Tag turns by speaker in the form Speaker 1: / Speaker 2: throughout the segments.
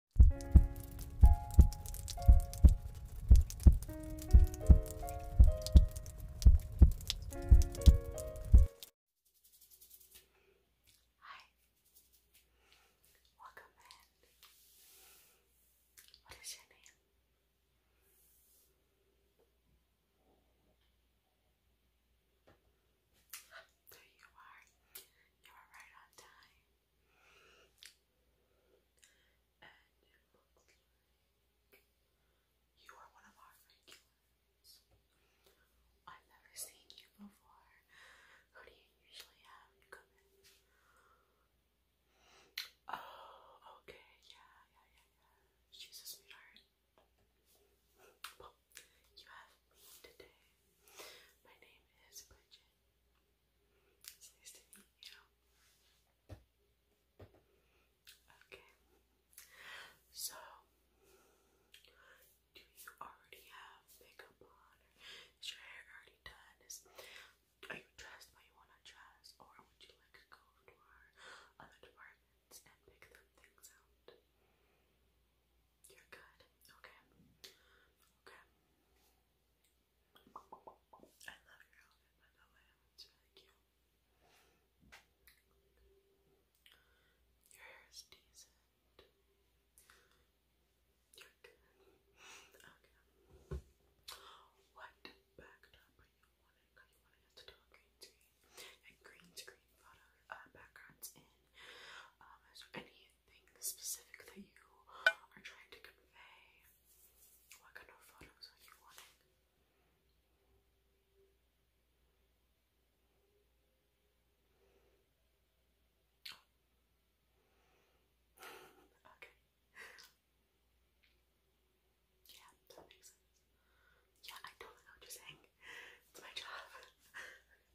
Speaker 1: Hi. Welcome in. What is your name? There you are. You are right on time. And you are one of our regulars. I've never seen you before. Who do you usually have Oh, okay, yeah, yeah, yeah, yeah. She's a sweetheart. you have me today. My name is Bridget. It's nice to meet you. Okay. So, do you already have makeup on? Is your hair already done? Is, are you dressed how you want to dress? Or would you like to go to our other departments and pick them things out? You're good. Okay. Okay. I love your outfit, by the way. It's really Your hair is decent. You're good. Okay. What backdrop are you wanting? Because you want to get to do a green screen. And green screen photo uh, backgrounds in. Um, is there anything specific that you are trying to convey? What kind of photos are you wanting? okay. Yeah, that makes sense. Yeah, I totally know what you're saying. It's my job.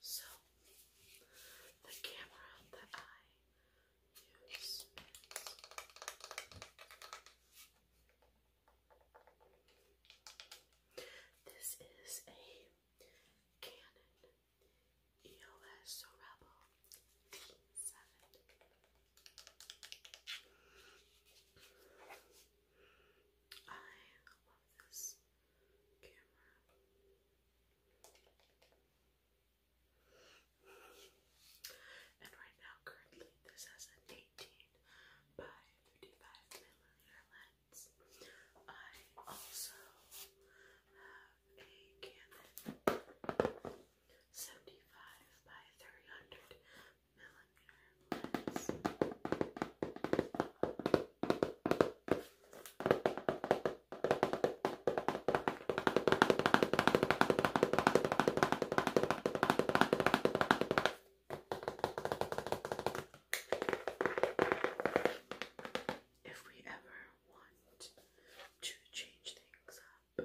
Speaker 1: So, the camera that I use this is a Canon EOS Rebel D7. I love this camera. And right now, currently, this has an 18 by 35 millimeter lens. I also have a Canon 75 by 300 if we ever want to change things up,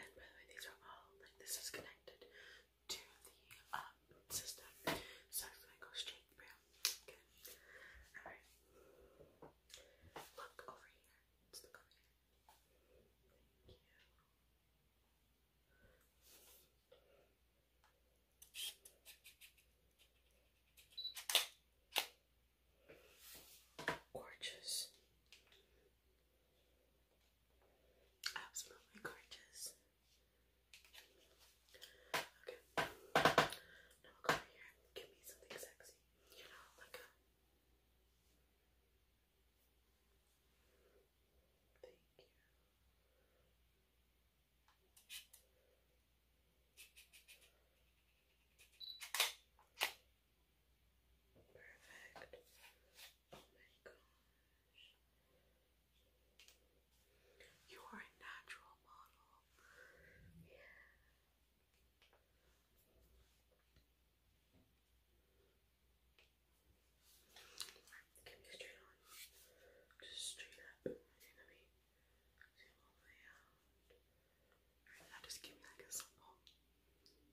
Speaker 1: And by the way, these are all like this is connected to the um, system. So it's gonna go straight through. Alright. Look over here. look over here. Gorgeous. Absolutely gorgeous. Okay. Now i over here and give me something sexy. You know, like Thank Oh my You are a natural model. Yeah. Can be straight on. Just straight up. And then let me zoom all the way out. Alright, now just give me like a simple. Perfect.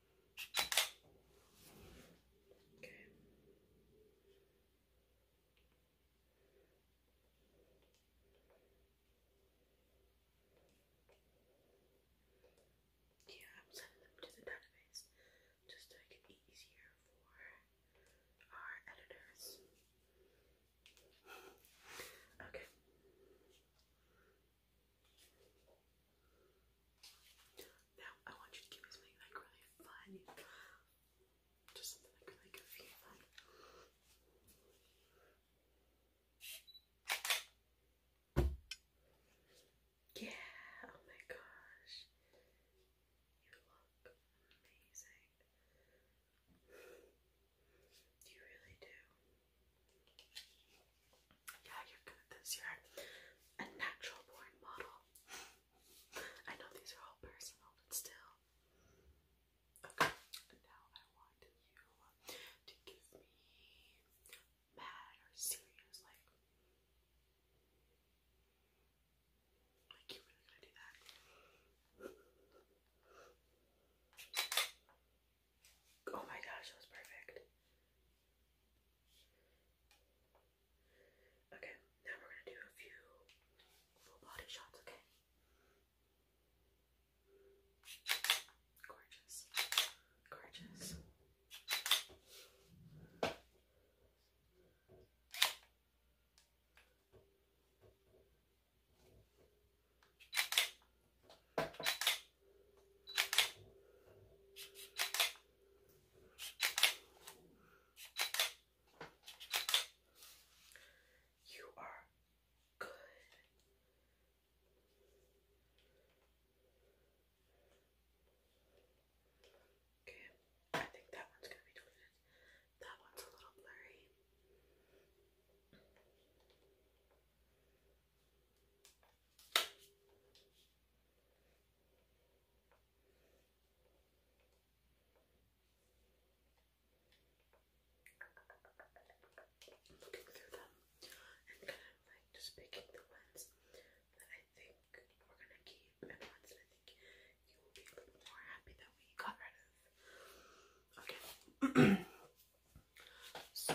Speaker 1: Okay. Yeah, I'm sending them to the database just to make it easier for our editors. Okay. Now I want you to give me like really fun. Just something like really goofy fun. Yeah, oh my gosh. You look amazing. You really do. Yeah, you're good this. year. a natural born model. I know these are all personal, but still. Okay, now I want you to give me mad or serious, like. Like, you're really gonna do that? Oh my gosh, that was perfect. Okay, now we're going to do a few full body shots, okay? Gorgeous. Gorgeous. You are good. Okay, I think that one's gonna be deleted. That one's a little blurry i looking through them and kind of like just picking the ones that I think we're gonna keep and I think you will be a little more happy that we got rid of. Okay. so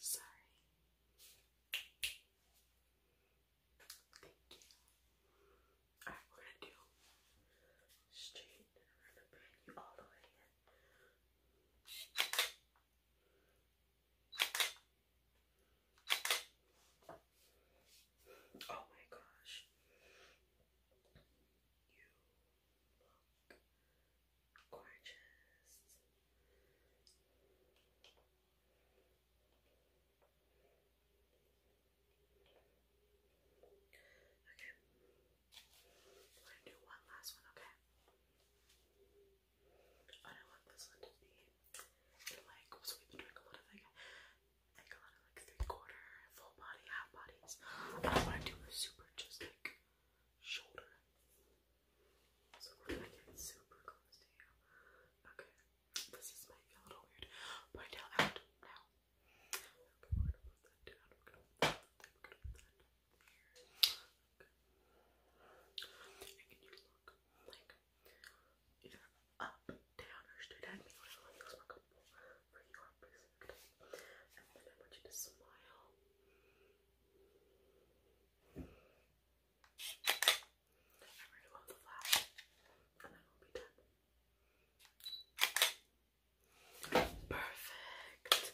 Speaker 1: Sorry. Thank you. Alright, we're gonna do straight around the band you all the way in. Oh my gosh. You look gorgeous. Okay. I'm gonna do one last one, okay? I don't want this one to be like, so we've been doing a lot of like, like a lot of like three quarter, full body, half bodies. I don't want to do a super just like shoulder. So we're gonna get super close to you. Okay, this is might be a little weird. Point out now. And you look like either up, down, or straight at me, whatever feels more for your specific And then I want you to smile. I'm ready the flash, and then we'll be done. Perfect.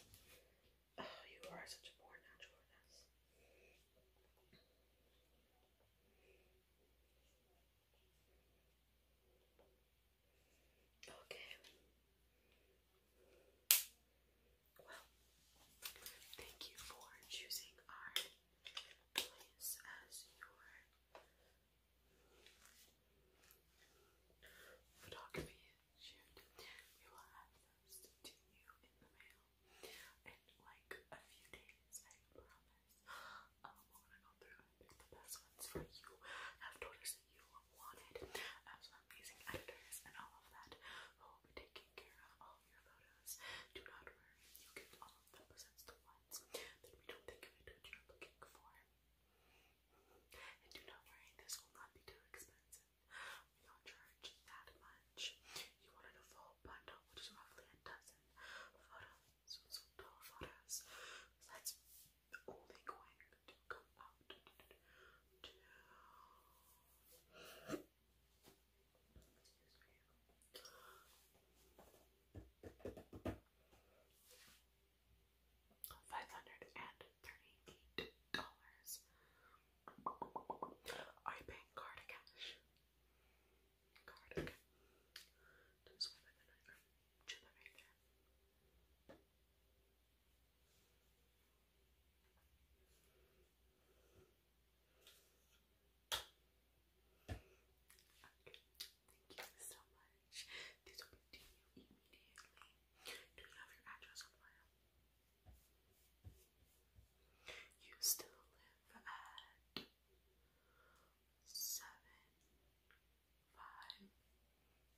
Speaker 1: Oh, you are such a poor naturalness. Okay. Well, thank you for choosing our place as your photography shared. We will have this to you in the mail in like a few days, I promise. Um, we're gonna go through and pick the best ones for you. have noticed that you wanted as amazing editors and all of that who will be taking care of all your photos. Do not worry, you get all of the presents ones that we don't think of it you're looking for. And do not worry, this will not be too expensive. We not that much. You wanted a full bundle, which is roughly a dozen photos, so total photos. That's only going to come out to Five hundred and thirty-eight are you paying card or cash? Card, okay. Don't the night Okay. Thank you so much. These will be to you immediately. Do you have your address on file? You still live at seven five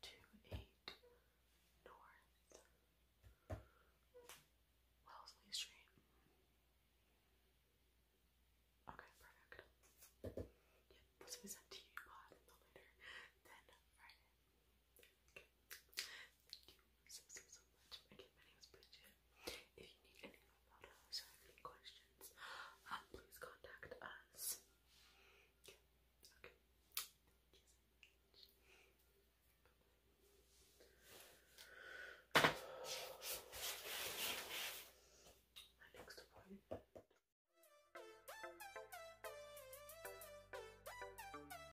Speaker 1: two eight North Wellesley Street. Okay, perfect. Yep, this will be sent to you uh, no later than Friday. Thank you so, so, much. my name is Bridget. If you need any more photos or any questions, please contact us. Okay. My next appointment.